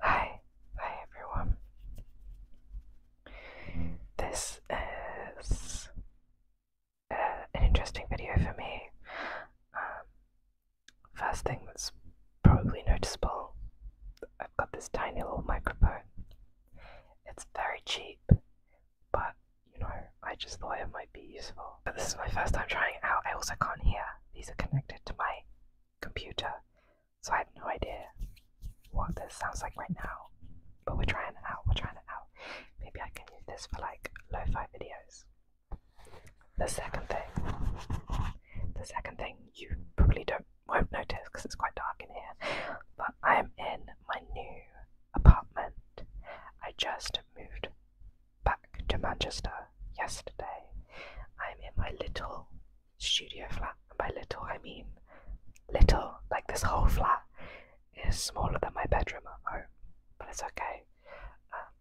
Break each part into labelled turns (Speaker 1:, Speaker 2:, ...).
Speaker 1: Hi, hi everyone. This is uh, an interesting video for me. Um, first thing that's probably noticeable I've got this tiny little microphone. It's very cheap, but you know, I just thought it might be useful. But this is my first time trying it out, I also can't hear these are connected to my computer, so I have no idea what this sounds like right now. But we're trying it out, we're trying it out. Maybe I can use this for like lo fi videos. The second thing, the second thing you probably don't won't notice because it's quite dark in here, but I'm in my new apartment. I just moved back to Manchester yesterday. I'm in my little studio flat, and by little I mean little, like this whole flat is smaller than my bedroom at home, but it's okay. Um,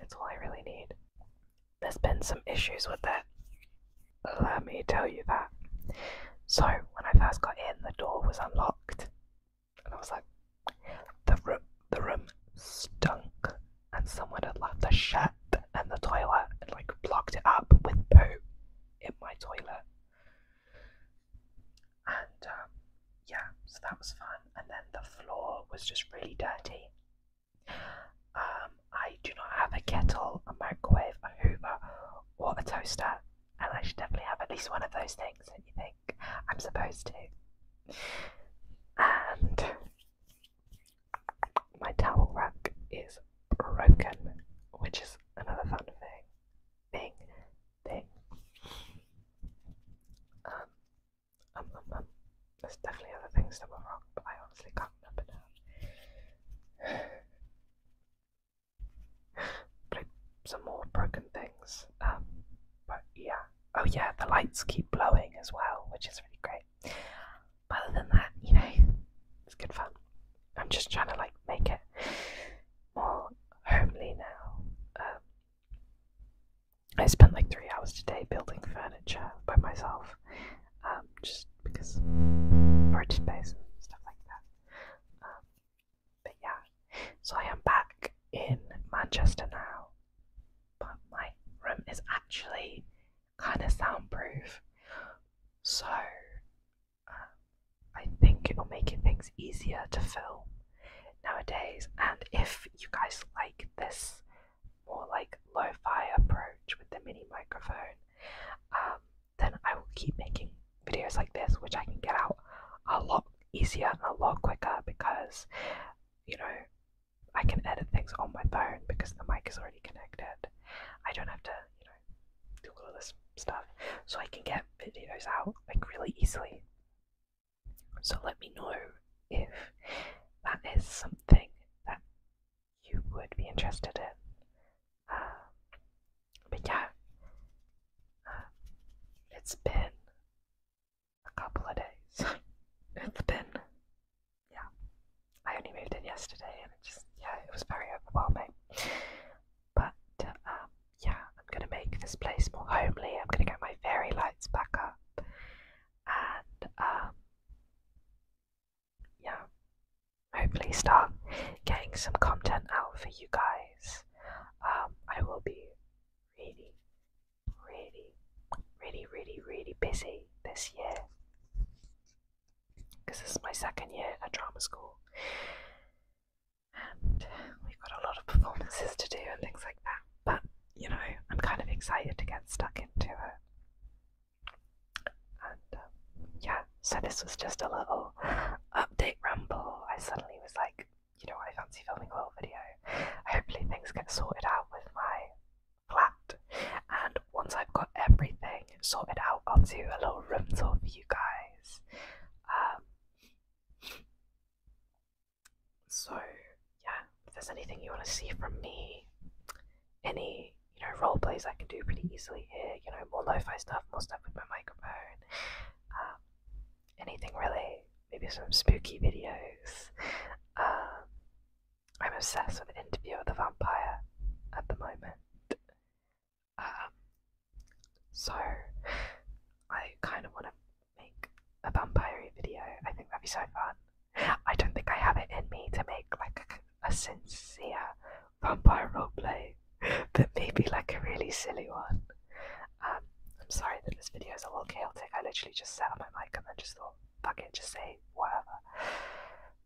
Speaker 1: it's all I really need. There's been some issues with it, let me tell you that. So, when I first got in, the door was unlocked and I was like, the room, the room stunk, and someone had left the shit in the toilet and like blocked it up with poop in my toilet. And um, yeah, so that was fun. And then the floor was just really dirty. Um, I do not have a kettle, a microwave, a Hoover, or a toaster, and I should definitely have at least one of those things, don't you think? I'm supposed to. And my towel rack is broken, which is another fun thing. Thing, um, um, um, um, There's definitely other things that were wrong, but I honestly can't remember some more broken things. Um, but yeah, oh yeah, the lights keep blowing as well, which is really great. other than that, you know, it's good fun. I'm just trying to like make it more homely now. Um, I spent like three hours today building furniture by myself, um, just because storage and stuff like that. But yeah, so I am back in Manchester now, but my room is actually kind of soundproof, so um, I think it'll make things easier to film nowadays. And if you guys like this more like lo fi approach with the mini microphone, um, then I will keep making videos like this, which I can get out a lot easier and a lot quicker because, you know, I can edit things on my phone because the mic is already connected. I don't have to, you know, do all of this stuff. So I can get videos out like really easily. So let me know if that is something that you would be interested in. Um, but yeah, uh, it's been a couple of days. it's been, yeah. I only moved in yesterday, and it just, yeah, it was very overwhelming. But um, yeah, I'm gonna make this place more homely. I'm gonna get my fairy lights back up, and um, yeah, hopefully start getting some content out for you guys. Um, I will be really, really, really, really, really busy this year because this is my second year at drama school, and we've got a lot of performances to do and things like that. But you know, I'm kind of excited to get stuck into it. Um, yeah, so this was just a little update ramble. I suddenly was like, you know, I fancy filming a little video. Hopefully, things get sorted out with my flat. And once I've got everything sorted out, I'll do a little room tour for you guys. Um, so, yeah, if there's anything you want to see from me, any you know, role plays I can do pretty easily here, you know, more lo fi stuff, more stuff with my microphone, um, anything really, maybe some spooky videos. Um, I'm obsessed with Interview with the Vampire at the moment. Um, so, I kind of want to make a vampire video. I think that'd be so fun. I don't think I have it in me to make like a, sincere vampire roleplay, but maybe like a really silly one. Um, I'm sorry that this video is a little chaotic. I literally just sat on my mic and then just thought, fuck it, just say whatever.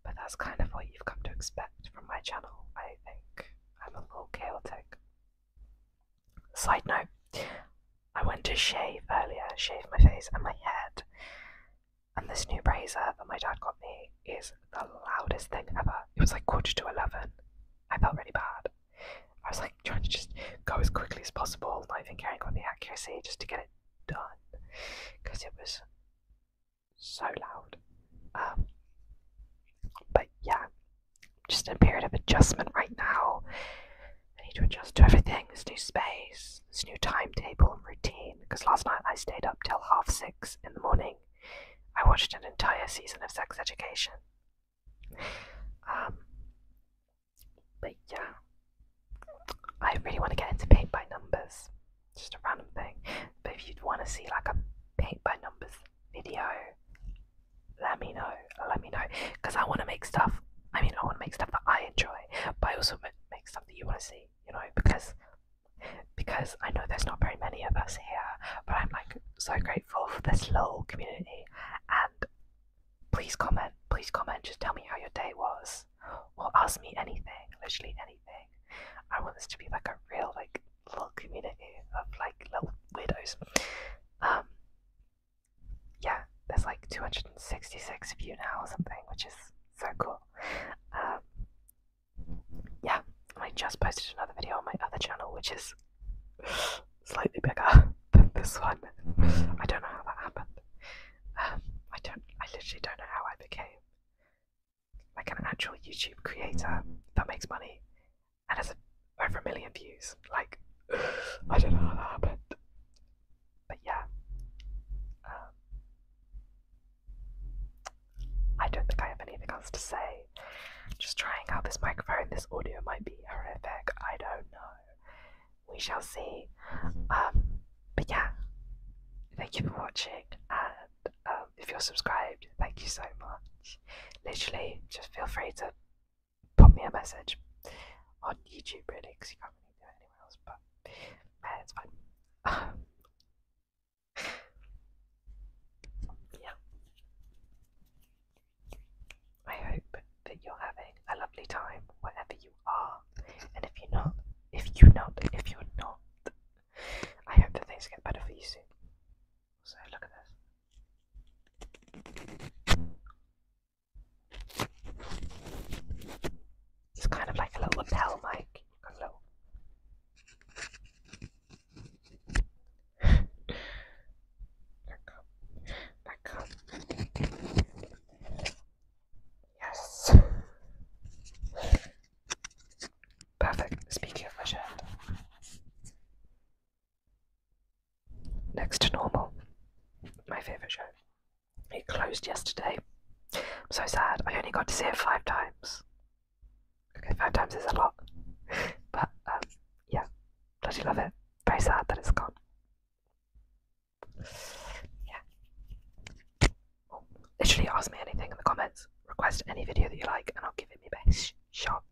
Speaker 1: But that's kind of what you've come to expect from my channel, I think. I'm a little chaotic. Side note, I went to shave earlier, shave my face and my head, and this new razor that my dad got me is the loudest thing ever. It was like quarter to 11. I felt really bad. I was like trying to just go as quickly as possible, not even caring about the accuracy, just to get it done. Because it was so loud. Um, but yeah, just a period of adjustment right now. I need to adjust to everything this new space, this new timetable and routine. Because last night I stayed up till half six in the morning. I watched an entire season of Sex Education. Um, but yeah, I really want to get into paint by numbers. Just a random thing. But if you'd want to see like a paint by numbers video, let me know. Let me know. Because I want to make stuff I mean, I want to make stuff that I enjoy, but I also make stuff that you want to see. You know, because because I know there's not very many of us here, but I'm like so grateful for this little community. And please comment, please comment. Just tell me how your day was, or ask me anything, literally anything. I want this to be like a real like little community of like little weirdos. Um, yeah, there's like 266 views now or something, which is so cool. Um, yeah, I just posted another video on my other channel, which is slightly bigger than this one. I don't know how that happened. Um, I don't. I literally don't know how I became like an actual YouTube creator that makes money and has over a million views. Like, I don't know how that happened. But yeah. Um, I don't think I have anything else to say. Just trying out this microphone, this audio might be horrific. I don't know. We shall see. Um, but yeah, thank you for watching. And um, if you're subscribed, thank you so much. Literally, just feel free to Put me a message on YouTube, really, because you can't really do it anywhere else, but uh, it's fine. yeah. I hope that you're having a lovely time wherever you are, and if you're not, if you're not, if you're not, I hope that things get better for you soon. So look at this. It's kind of like a little lapel mic. A little. back up. Back up. Yes. Perfect. Speaking of my Next to Normal, my favourite show. It closed yesterday. I'm so sad. I only got to see it five times. Okay, five times is a lot. But, um, yeah, bloody love it. Very sad that it's gone. Yeah. Oh, literally ask me anything in the comments. Request any video that you like, and I'll give it my best shot.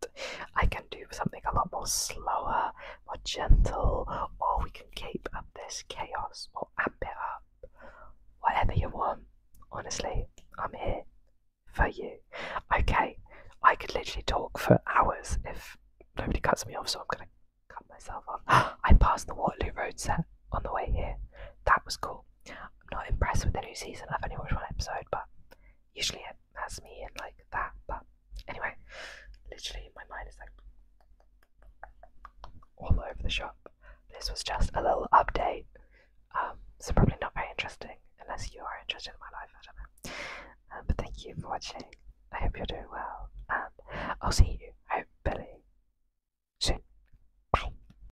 Speaker 1: I can do something a lot more slower, more gentle, or we can keep up this chaos or amp it up. Whatever you want. Honestly, I'm here for you. Okay, I could literally talk for hours if nobody cuts me off, so I'm gonna cut myself off. I passed the Waterloo Road set on the way here. That was cool. I'm not impressed with the new season. I've only watched one episode, but usually it has me in like that. But anyway, literally my mind is like all over the shop. This was just a little update, um, so probably not very interesting unless you are interested in my life. I um, but thank you for watching. I hope you're doing well, and I'll see you hopefully See. soon.